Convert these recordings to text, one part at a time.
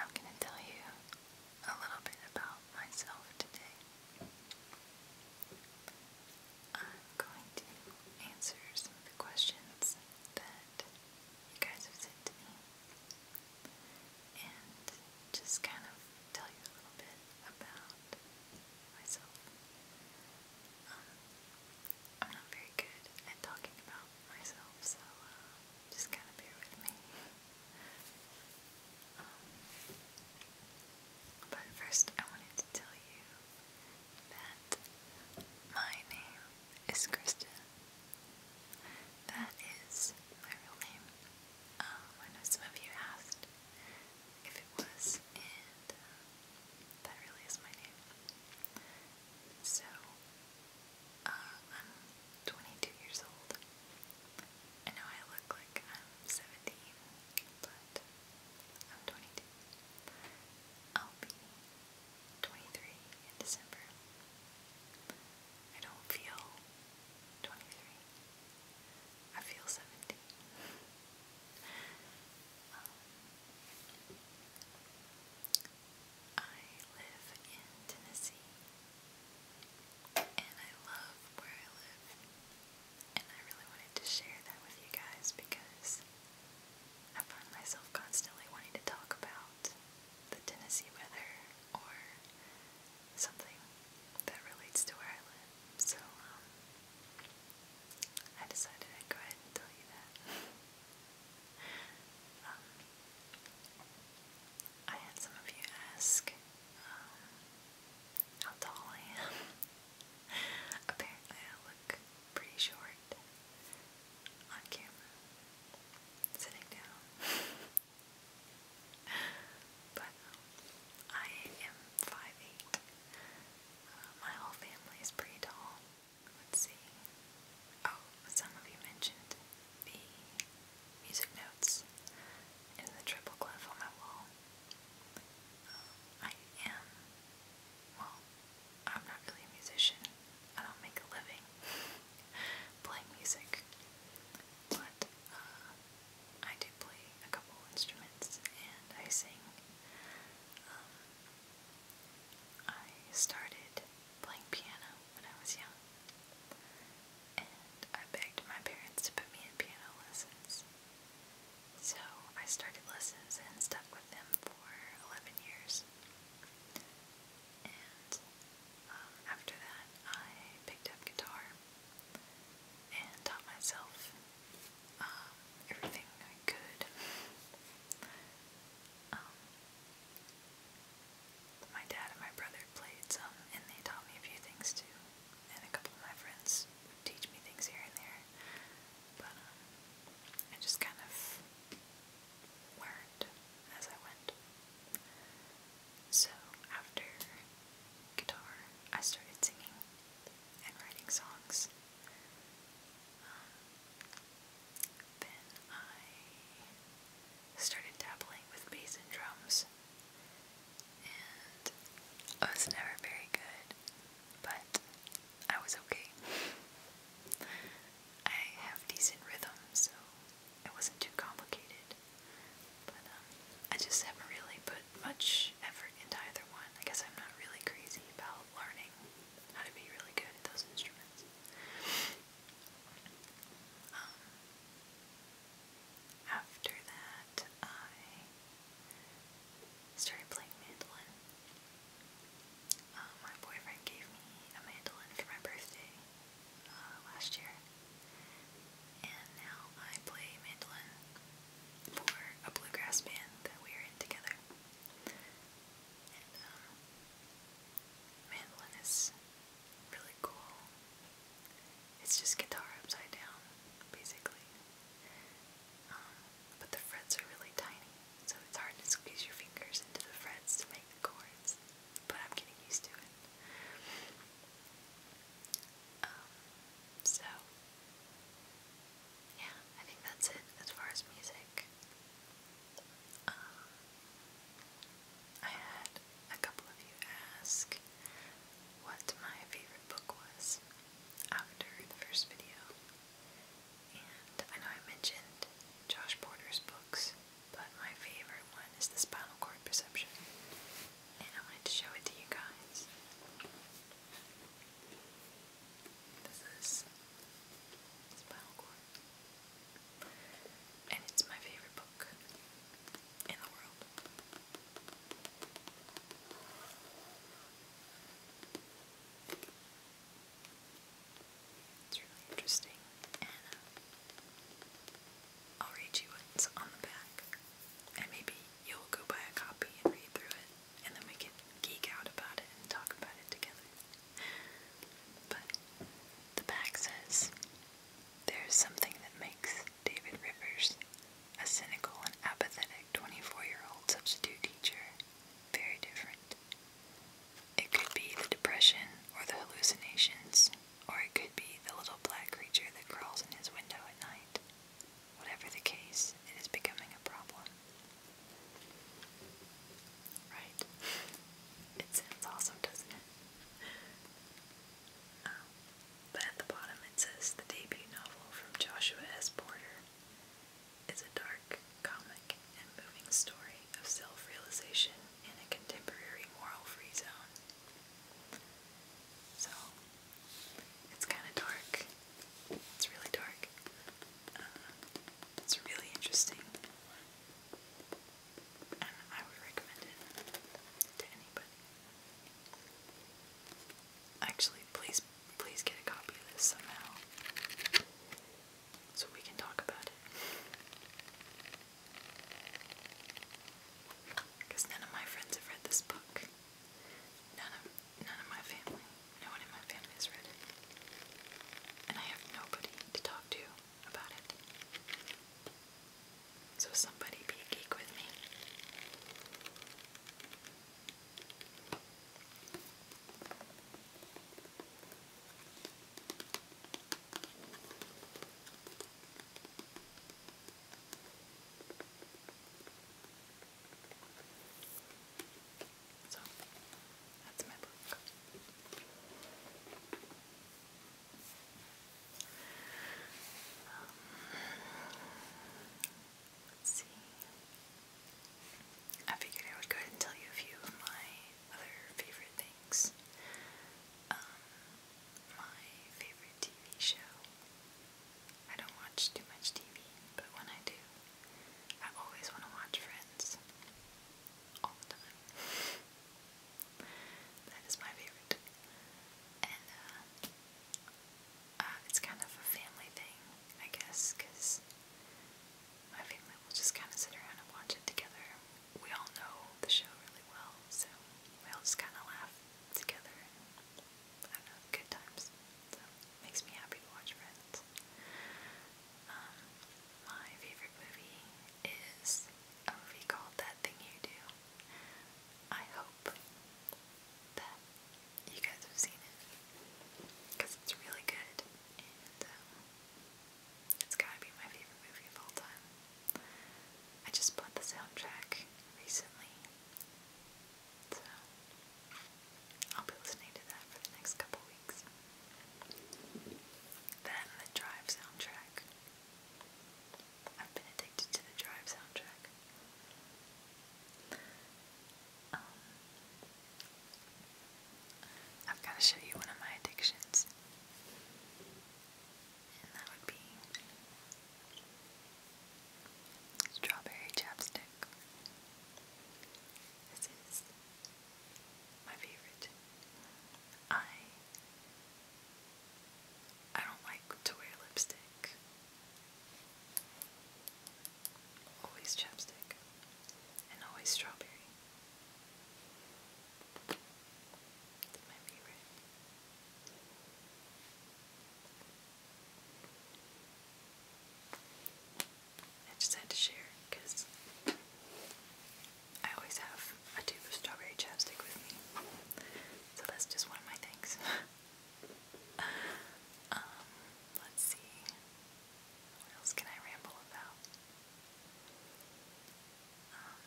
I'm going to tell you a little bit about myself today. I'm going to answer some of the questions that you guys have sent to me and just kind of tell you a little bit about myself. Um, I'm not very good at talking about myself, so uh, just kind of bear with me. Um, but first, I wanted to tell you that my name is Kristen. That is my real name. Um, I know some of you asked if it was, uh, that really is my name. So, uh, I'm 22 years old. I know I look like I'm 17, but I'm 22. I'll be 23 in December. I don't feel 23. I feel 17. Um, I live in Tennessee, and I love where I live, and I really wanted to share that with you guys because I find myself constantly wanting to talk about the Tennessee weather or something that relates to where I live. So, um, I decided I'd go ahead and tell you that. Um, I had some of you ask um, how tall I am. Apparently, I look pretty short on camera, sitting down. But um, I am 5'8 my whole family is pretty tall. Let's see. Oh, some of you mentioned the music notes in the triple clef on my wall. I am, well, I'm not really a musician. I don't make a living playing music. But uh, I do play a couple instruments and I sing. Um, I started playing piano when I was young, and I begged my parents to put me in piano lessons. So I started lessons and stuck with them for 11 years. And um, after that, I picked up guitar and taught myself um, everything I could. Um, my dad and my brother played some, and they taught me a few things too. And a couple of my friends teach me things here and there. But um, I just kind of learned as I went. So after guitar, I started singing and writing songs then I started dabbling with bass and drums, and I was never very good, but I was okay. I have decent rhythm, so it wasn't too complicated. But um, I just haven't really put much effort into either one. I guess I'm not really crazy about learning how to be really good at those instruments. Um, after that, I started playing mandolin. Uh, my boyfriend gave me a mandolin for my birthday uh, last year, and now I play mandolin for a bluegrass band that we were in together. Um, mandolin is really cool. It's just guitar upside down, basically. Um, but the frets are really tiny, so it's hard to squeeze your fingers into the frets to make chords. But I'm getting used to it. Um, so, yeah, I think that's it as far as music. Um, I had a couple of you ask what my favorite book was after the first video, and I know I mentioned Josh Porter's books, but my favorite one is The Spinal Cord Perception, and I wanted to show it to you guys. This is Spinal Cord. And it's my favorite book in the world. It's really interesting, and I'll read you what's on the back, and maybe you'll go buy a copy and read through it and then we can geek out about it and talk about it together. But the back says there's something that makes David Rivers, a cynical and apathetic 24 year old substitute teacher, very different. It could be the depression or the hallucinations, or it could be the little black creature that crawls in his window at night. Whatever the case, it is becoming a problem. Right? It sounds awesome, doesn't it? Um, but at the bottom it says the debut novel from Joshua S. Porter is a dark, comic, and moving story of self realization in a contemporary moral free zone. So, it's kind of dark. It's really dark. Uh, it's really interesting. And I would recommend it to anybody. Actually, please, please get a copy of this somehow. So we can talk about it. Because none of my friends have read this book. None of none of my family, no one in my family has read And I have nobody to talk to about it. So somebody be a geek with me. So um, I figured I would go ahead and tell you a few of my other favorite things. Um, my favorite TV show I don't watch too much TV, but when I do, I always want to watch Friends. All the time. that is my favorite. And, uh, uh, it's kind of a family thing, I guess, because my family will just kind of sit around and watch it together. We all know the show really well, so we all just kind of laugh together I don't know, good times. So makes me happy to watch Friends. Um, my favorite movie is a movie called That Thing You Do. I hope that you guys have seen it because it's really good and um, it's gotta be my favorite movie of all time. I just bought the soundtrack recently. So, I'll be listening to that for the next couple weeks. Then the Drive soundtrack. I've been addicted to the Drive soundtrack. Um, I've got to show you one of my addictions, and that would be Strawberry chapstick. This is my favorite. I I don't like to wear lipstick. Always chapstick. And always strawberry. my favorite. I just had to share because I always have a tube of strawberry chapstick with me. So that's just one of my things. Um, let's see. What else can I ramble about? Um,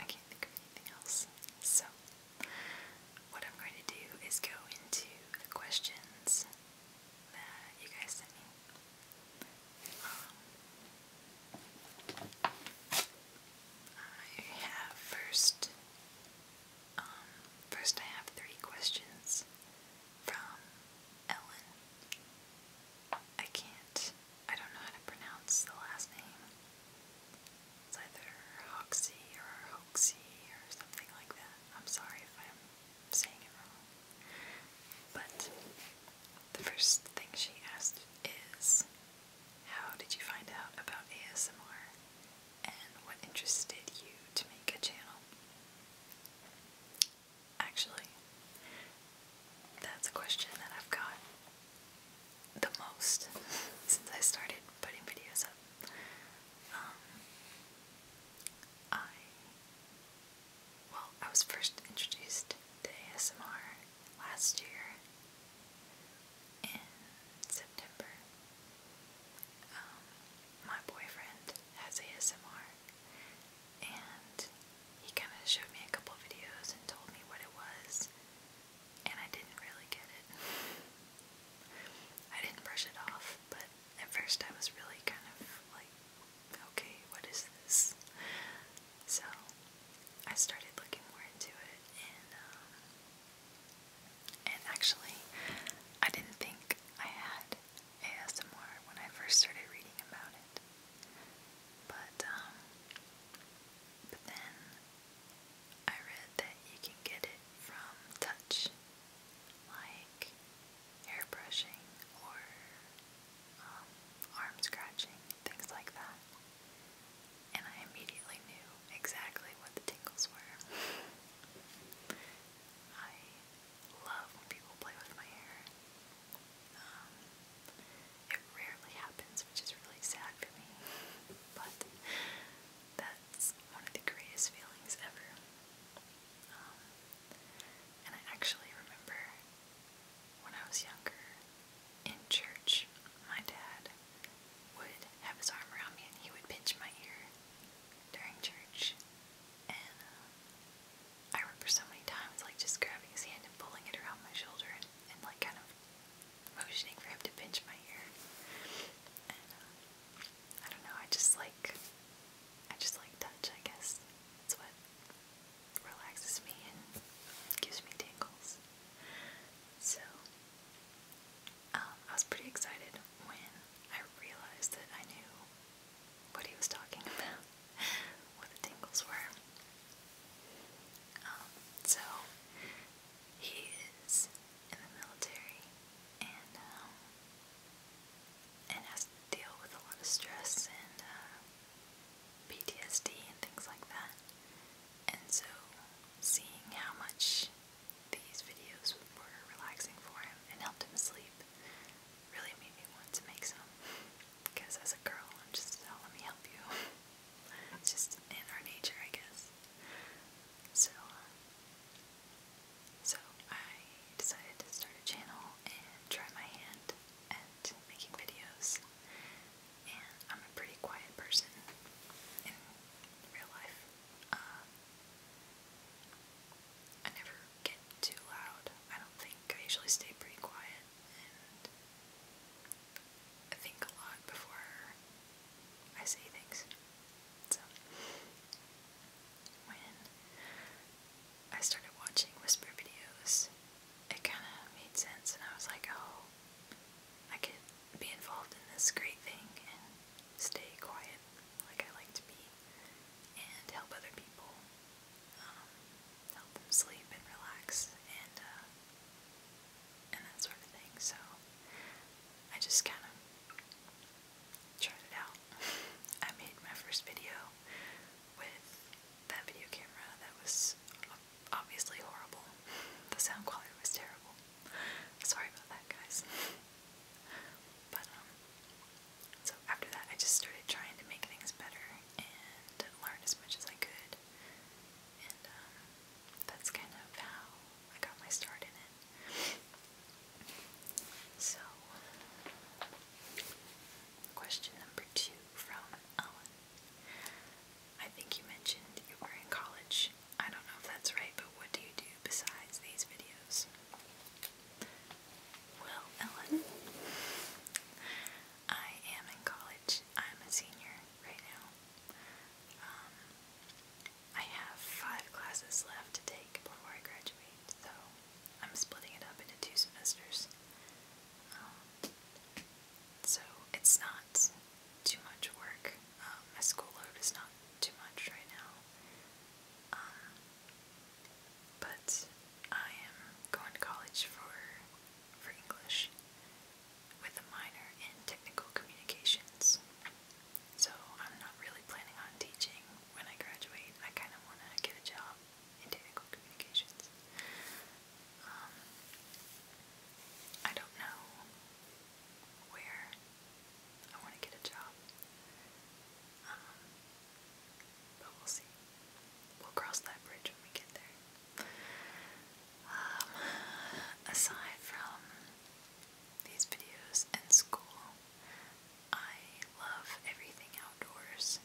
I can't think of anything else. So, what I'm going to do is go into the questions that you guys sent me. Um, I have first, um, first I have three questions from Ellen. I can't I don't know how to pronounce the last name. either Hoxie or Hoxie or something like that. I'm sorry if I'm saying it wrong. But the first thing she asked is, How did you find out about ASMR? And what interested you to make a channel? Actually, that's a question that I've got the most since I started putting videos up. Um, I, well, I was first introduced to ASMR last year in September. Um, my boyfriend has ASMR, and he kind of showed me a couple videos and told me what it was, and I didn't really get it. I didn't brush it off, but at first I was really kind of like, okay, what is this? So I started looking more into it, and um, and actually, I didn't think I had ASMR when I first started reading about it. Um, but then I read that you can get it from touch like hair brushing or um, arm scratching, things like that. And I immediately knew exactly what the tingles were. I love when people play with my hair. Um, it rarely happens, which is really sad for me, but that's one of the greatest feelings ever. Um, and I actually remember when I was younger in church, my dad would have his arm around me and he would pinch my ear during church. And uh, I remember so many times like just grabbing his hand and pulling it around my shoulder and, like kind of motioning for him to pinch my ear. And uh, I don't know, I just like I just like touch, I guess. It's what relaxes me and gives me tingles. So um, I was pretty excited when I realized that I knew what he was talking about, what the tingles were. Um, so he is in the military and um, and has to deal with a lot of stress and uh, PTSD and things like that. And so seeing how much these videos were relaxing for him and helped him sleep really made me want to make some. Because as a girl, I'm just, oh, let me help you. it's just in our nature, I guess. So, uh, so I decided to start a channel and try my hand at making videos. And I'm a pretty quiet person in real life. Uh, I never get too loud. I don't think. I usually stay pretty quiet and I think a lot before I say things. So, when I started watching whisper videos, it kind of made sense, and I was like, oh, I can be involved in this great thing and stay quiet like I like to be and help other people. Um, help them sleep and relax and uh, and that sort of thing. So I just kind of tried it out. I made my first video with that video camera that was obviously horrible. The sound quality was terrible. Sorry about that, guys. But um, so after that, I just started trying to make things better and learn as much as I could. And um, that's kind of how I got my start in it. So, question number two from Ellen. I think you mentioned you were in college. I don't know if that's right, but what do you do besides these videos? Well, Ellen, I am in college. I'm a senior right now. Um, I have five classes left to take before I graduate, so I'm splitting it up into two semesters. Um, so it's not too much work. Um, my school load is not too much right now. Um, but I am going to college for for English with a minor in technical communications. So I'm not really planning on teaching when I graduate. I kind of want to get a job in technical communications. Um, I don't know where I want to get a job but we'll see. We'll cross that bridge when we get there. Um, aside from these videos and school, I love everything outdoors.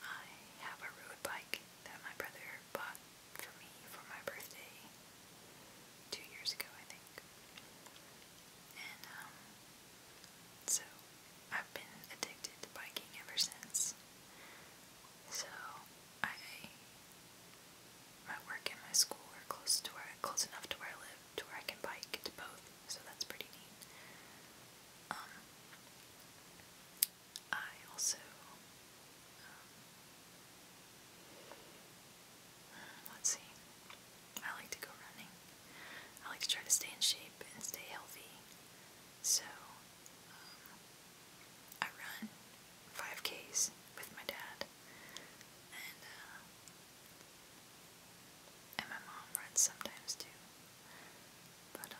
I have a road bike that my brother bought for me for my birthday two years ago, I think. Um, so I've been addicted to biking ever since. So I my work and my school are close to where close enough to where I live to where I can bike to both, so that's pretty neat. Um I also um, let's see. I like to go running. I like to try to stay in shape and stay healthy. So, um, I run 5Ks with my dad, uh, and, my mom runs sometimes too. Um,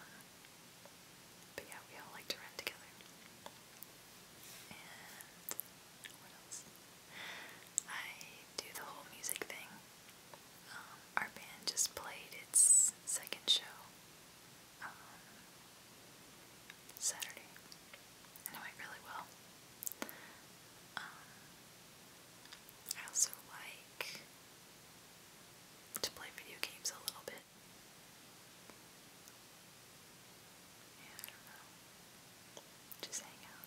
but yeah, we all like to run together. And, what else? I do the whole music thing. Um, our band just played its second show um, Saturday, and it went really well. Um, I also like to play video games a little bit. Yeah, I don't know. Just hang out.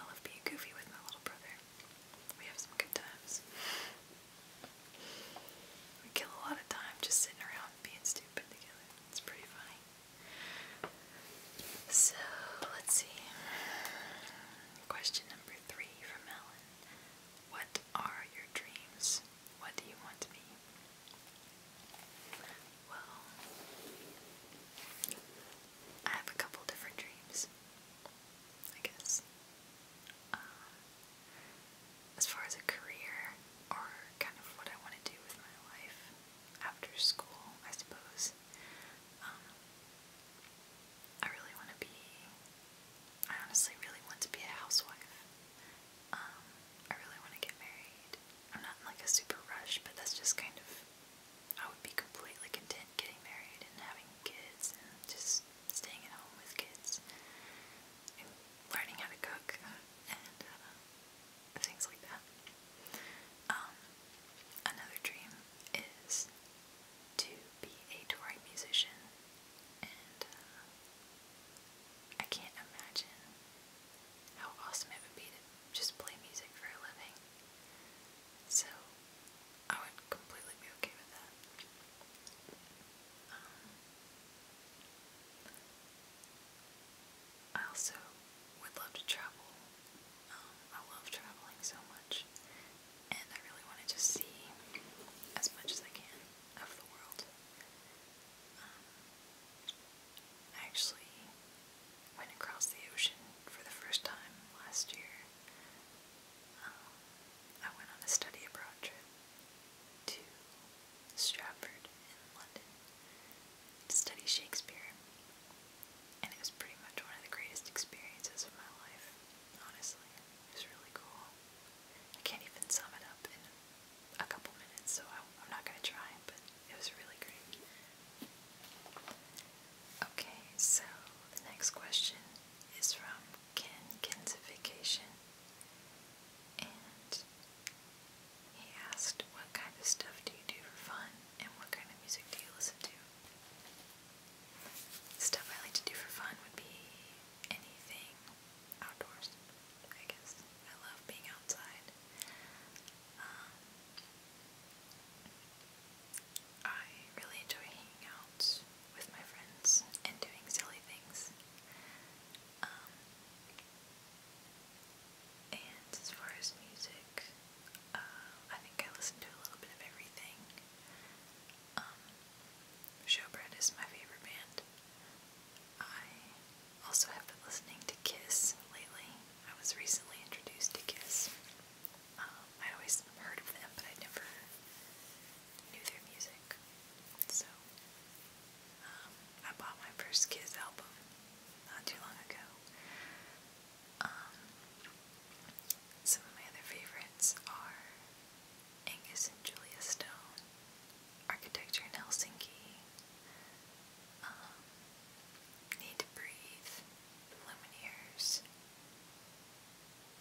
I love being goofy with my little brother. We have some good times. We kill a lot of time just sitting around being stupid together. It's pretty funny. So, let's see. Question number three from Ellen. What are your dreams? What do you want to be? Well, I have a couple different dreams, I guess. Uh, as far as a career or kind of what I want to do with my life after school, I suppose. Um, I really want to be, I honestly really want to be a housewife. Um, I really want to get married. I'm not like a super rush, but that's just kind of I would be completely content getting married and having kids and just staying at home with kids and learning how to cook and uh, things like that. Um, another dream is to be a touring musician, and uh, I can't imagine how awesome it would be to just play music for a living. So I would completely be okay with that. Um, I also would love to travel. Um, I love traveling so much, and I really want to just see as much as I can of the world. Um, actually went across the ocean for the first time last year. Um, I went on a study abroad trip to Stratford in London to study Shakespeare, and it was pretty much one of the greatest experiences of my life, honestly. It was really cool. I can't even sum it up in a couple minutes, so I'm not going to try, it was really great. Okay, so the next question is from Ken Kensification. And he asked, What kind of stuff do you do for fun? And what kind of music do you listen to? Stuff I like to do for fun would be anything outdoors, I guess. I love being outside. Um, I really enjoy hanging out with my friends and doing silly things. Um, and as far as music, uh, I think I listen to a little bit of everything. Um, Showbread is my favorite band. I also have been listening to Kiss lately, I was recently introduced to KISS. i um, I always heard of them, but I never knew their music. So, um, I bought my first KISS album not too long ago. Um, some of my other favorites are Angus and Julia Stone, Architecture in Helsinki, Need to Breathe, the Lumineers,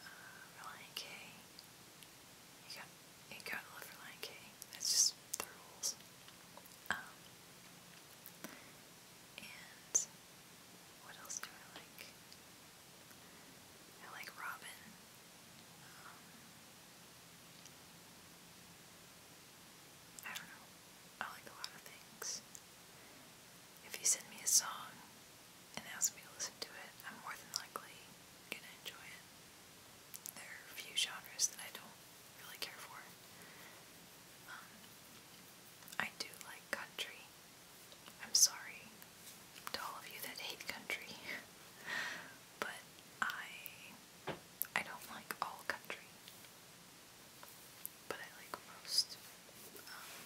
uh, Reliant K. You got, you gotta love Reliant K. That's just the rules. Um, and what else do I like? I like Robin. Um, I don't know. I like a lot of things. If you send me a song and ask me to listen to it, I'm more than likely gonna enjoy it. There are a few genres that I don't really care for. Um, I do like country. I'm sorry to all of you that hate country, but I I don't like all country but I like most. Um,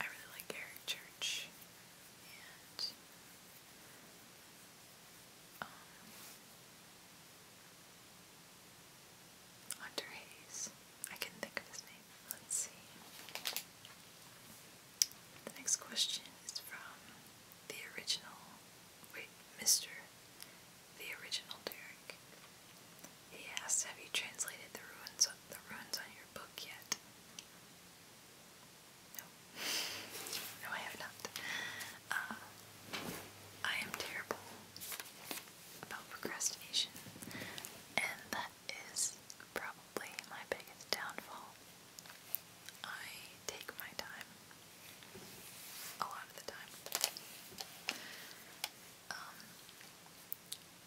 I really like Eric Church, and um, Hunter Hayes. I can think of his name. Let's see. The next question is from the original, wait, Mr the original Derek. He asked, Have you translated the ruins on, the ruins on your book yet? No. No, I have not. Uh, I am terrible about procrastination, and that is probably my biggest downfall. I take my time a lot of the time. Um,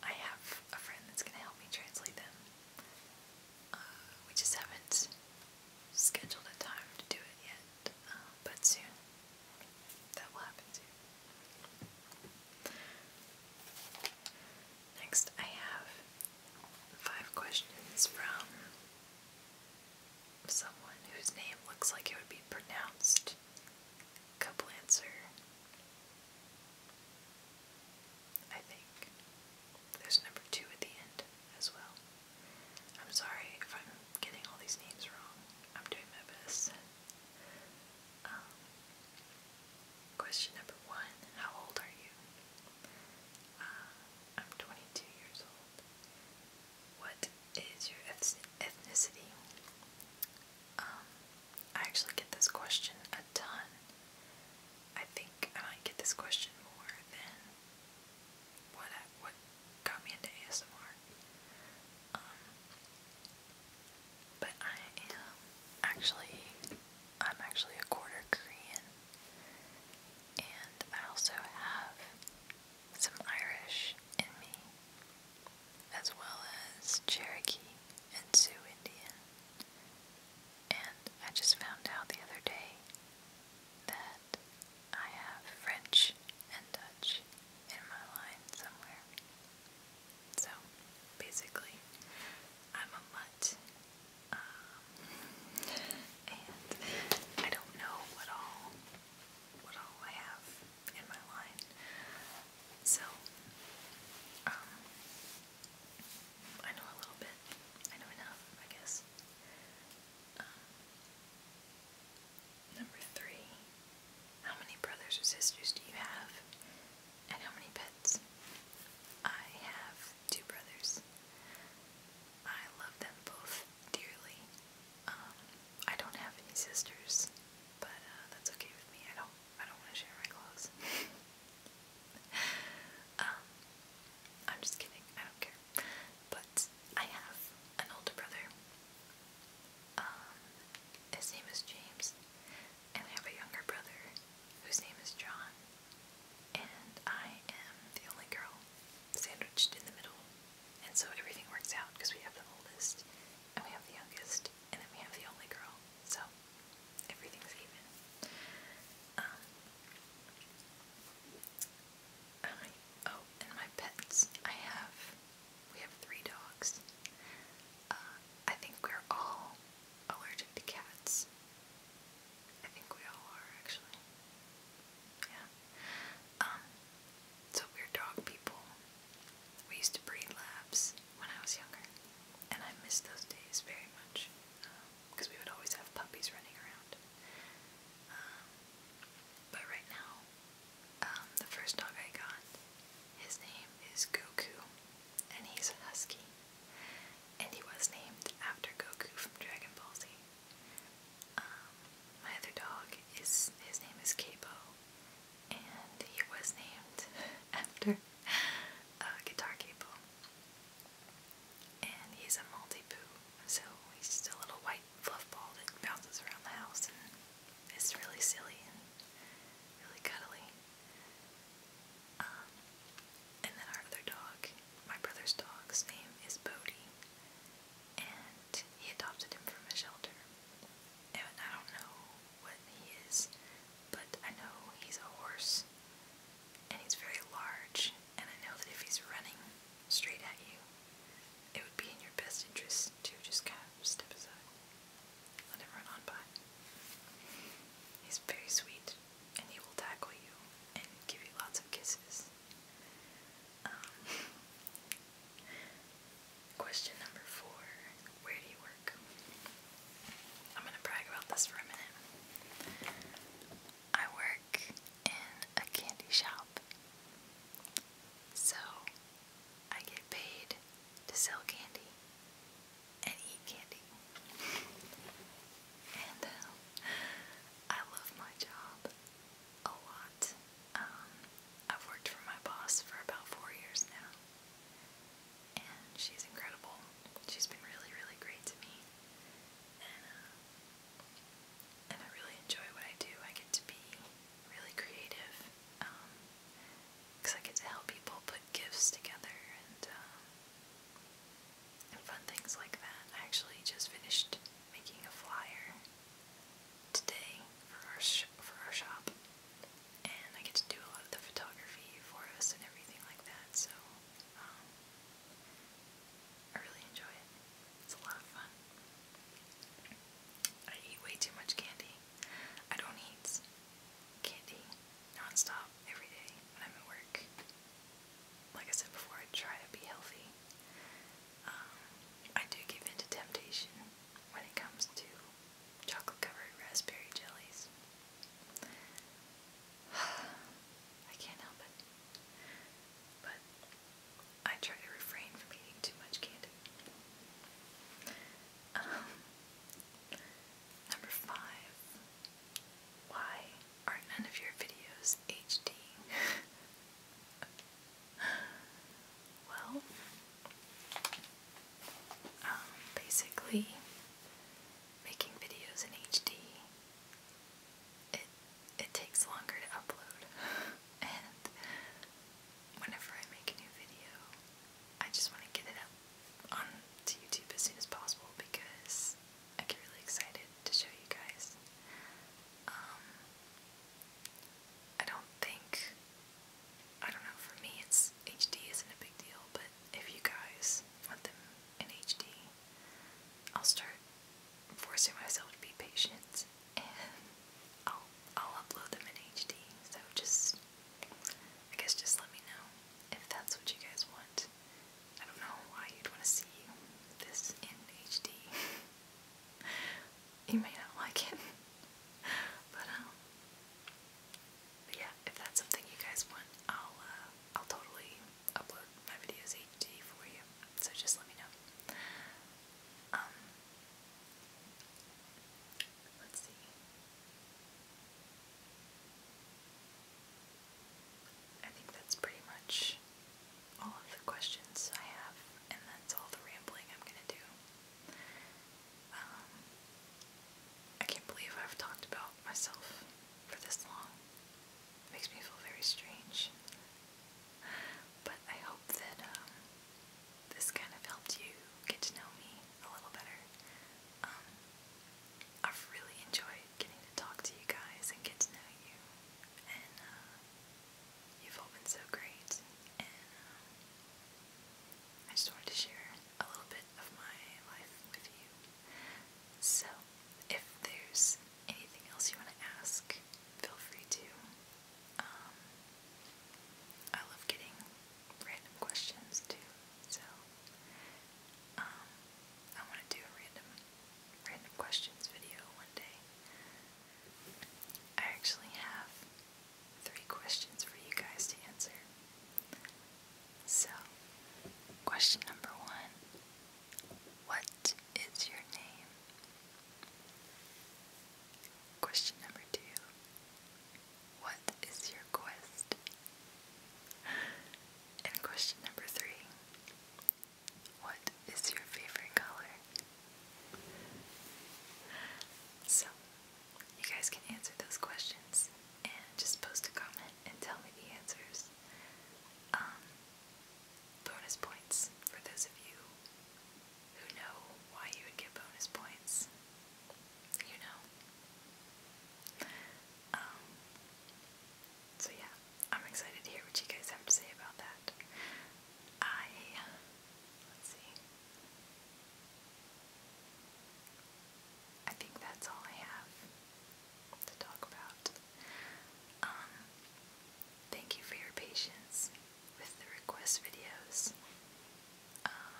I have a friend that's going to help me translate them. Uh, we just haven't scheduled a time to do it yet, um, but soon. That will happen soon. Next, I have five questions from someone whose name looks like it would be pronounced Koblenzer. I think. There's number two at the end as well. I'm sorry if I'm getting all these names wrong. I'm doing my best. Um, question number one How old are you? Uh, I'm 22 years old what is your ethnicity? Um, I actually get this question a ton. I think I get this question more than what I, what got me into ASMR. Um, but I am actually I'm actually a quarter Korean, and I also have some Irish in me, as well as Cherokee and Sioux Indian. And I just found out the other day that I have French and Dutch in my line somewhere. So basically, I'm a mutt. Um, and I don't know what all what all I have in my line. So, um, I know a little bit. I know enough, I guess. Um, number three. How many brothers or sisters do you have? And how many pets? I have two brothers. I love them both dearly. Um, I don't have any sisters, but uh, that's okay with me. I don't. I don't want to share my clothes. Um, I'm just kidding. I don't care. But I have an older brother. Um, his name is James, and I have a younger brother whose name is John. And I am the only girl sandwiched in the middle. And so everything works out because we have the oldest, and we have the youngest, and then we have the only girl. So everything's even. Um, oh, and my pets. I have, we have three dogs. Uh, I think we're all allergic to cats. I think we all are, actually. Yeah. Um, so we're dog people. We used to breed labs when I was younger, and I miss those days very much because um, we would always have puppies running around. Um, but right now, um, the first dog I got, his name is Goku, and he's a husky, and he was named after Goku from Dragon Ball Z. Um, my other dog is his name is Capo, and he was named after uh, Guitar Capo. And he's a multi so he's just a little white fluff that bounces around the house, it's really silly really cuddly. Um, and then our other dog, my brother's dog's name is Bodie, and he adopted him from a shelter. And I don't know what he is, but I know he's a horse, and he's very large, and I know that if he's running straight at you, it would be in your best interest to just kind of step aside. Let him run on by. He's very sweet, and he will tackle you and give you lots of kisses. Um, question number four Where do you work? I'm going to brag about this for a minute. I work in a candy shop. So I get paid to sell candy and eat candy. And uh, I love my job a lot. Um, I've worked for my boss for about four years now, and she's incredible. She's been really, really great to me, and, uh, and I really enjoy what I do. I get to be really creative, because um, I get to help people put gifts together and um, and fun things like that. I actually just finished making a flyer today for our for our shop, and I get to do a lot of the photography for us and everything like that. So um, I really enjoy it. It's a lot of fun. I eat way too much candy. I don't eat candy nonstop every day when I'm at work like I said before, I try to be healthy. Um, I do give into temptation when it comes to chocolate covered raspberry jellies. I can't help it. But I try to refrain from eating too much candy. Um, number five. Why are none of your videos HD? well, um, basically, making videos in HD, it it takes longer to upload, and whenever I make a new video, I just want to get it up on to YouTube as soon as possible because I get really excited to show you guys. Um, I don't think, I don't know, for me it's HD isn't a big deal, but if you guys want them in HD, I'll start forcing myself to be patient and I'll, I'll upload them in HD, so just, I guess just let me know if that's what you guys want. I don't know why you'd want to see this in HD. you may not like it, but um, yeah, if that's something you guys want, I'll uh, I'll totally upload my videos HD for you. So just let me know. Um, let's see. I think that's pretty much all of the questions I have, and that's all the rambling I'm gonna do. Um, I can't believe I've talked about myself for this long. makes me feel very strange. But I hope that um, this kind of helped you get to know me a little better. Um, I've really enjoyed getting to talk to you guys and get to know you. And uh, you've all been so great. And um, I just wanted to share a little bit of my life with you. So, if there's anything else you want to ask, feel free to. Um, I love getting random questions too. So, um, I want to do a random random questions video one day. I actually have three questions for you guys to answer. So, question number one What is your name? Question number two What is your quest? And question number three what is your favorite color? So, you guys can answer those questions and just post a comment and tell me the answers. Um, bonus points for those of you who know why you would get bonus points. You know. Um, so yeah, I'm excited to hear what you guys have to say about that. I let's see. I think that's all I have to talk about. Um thank you for your patience with the request videos. Um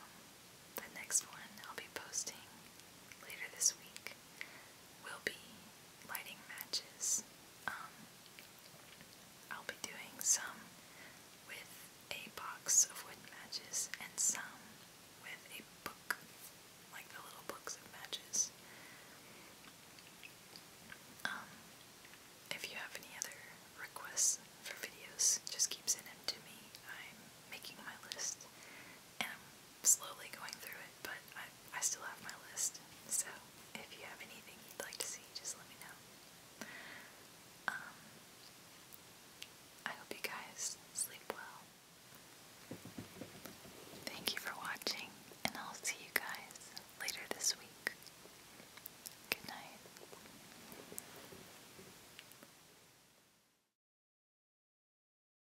the next one I'll be posting later this week will be lighting matches. Um, I'll be doing some with a box of wood matches and some with a book, like the little books of matches. Um, if you have any other requests for videos, just keep sending them to me. I'm making my list slowly going through it, but I, still have my list. So if you have anything you'd like to see, just let me know. Um, I hope you guys sleep well. Thank you for watching, and I'll see you guys later this week. Good night.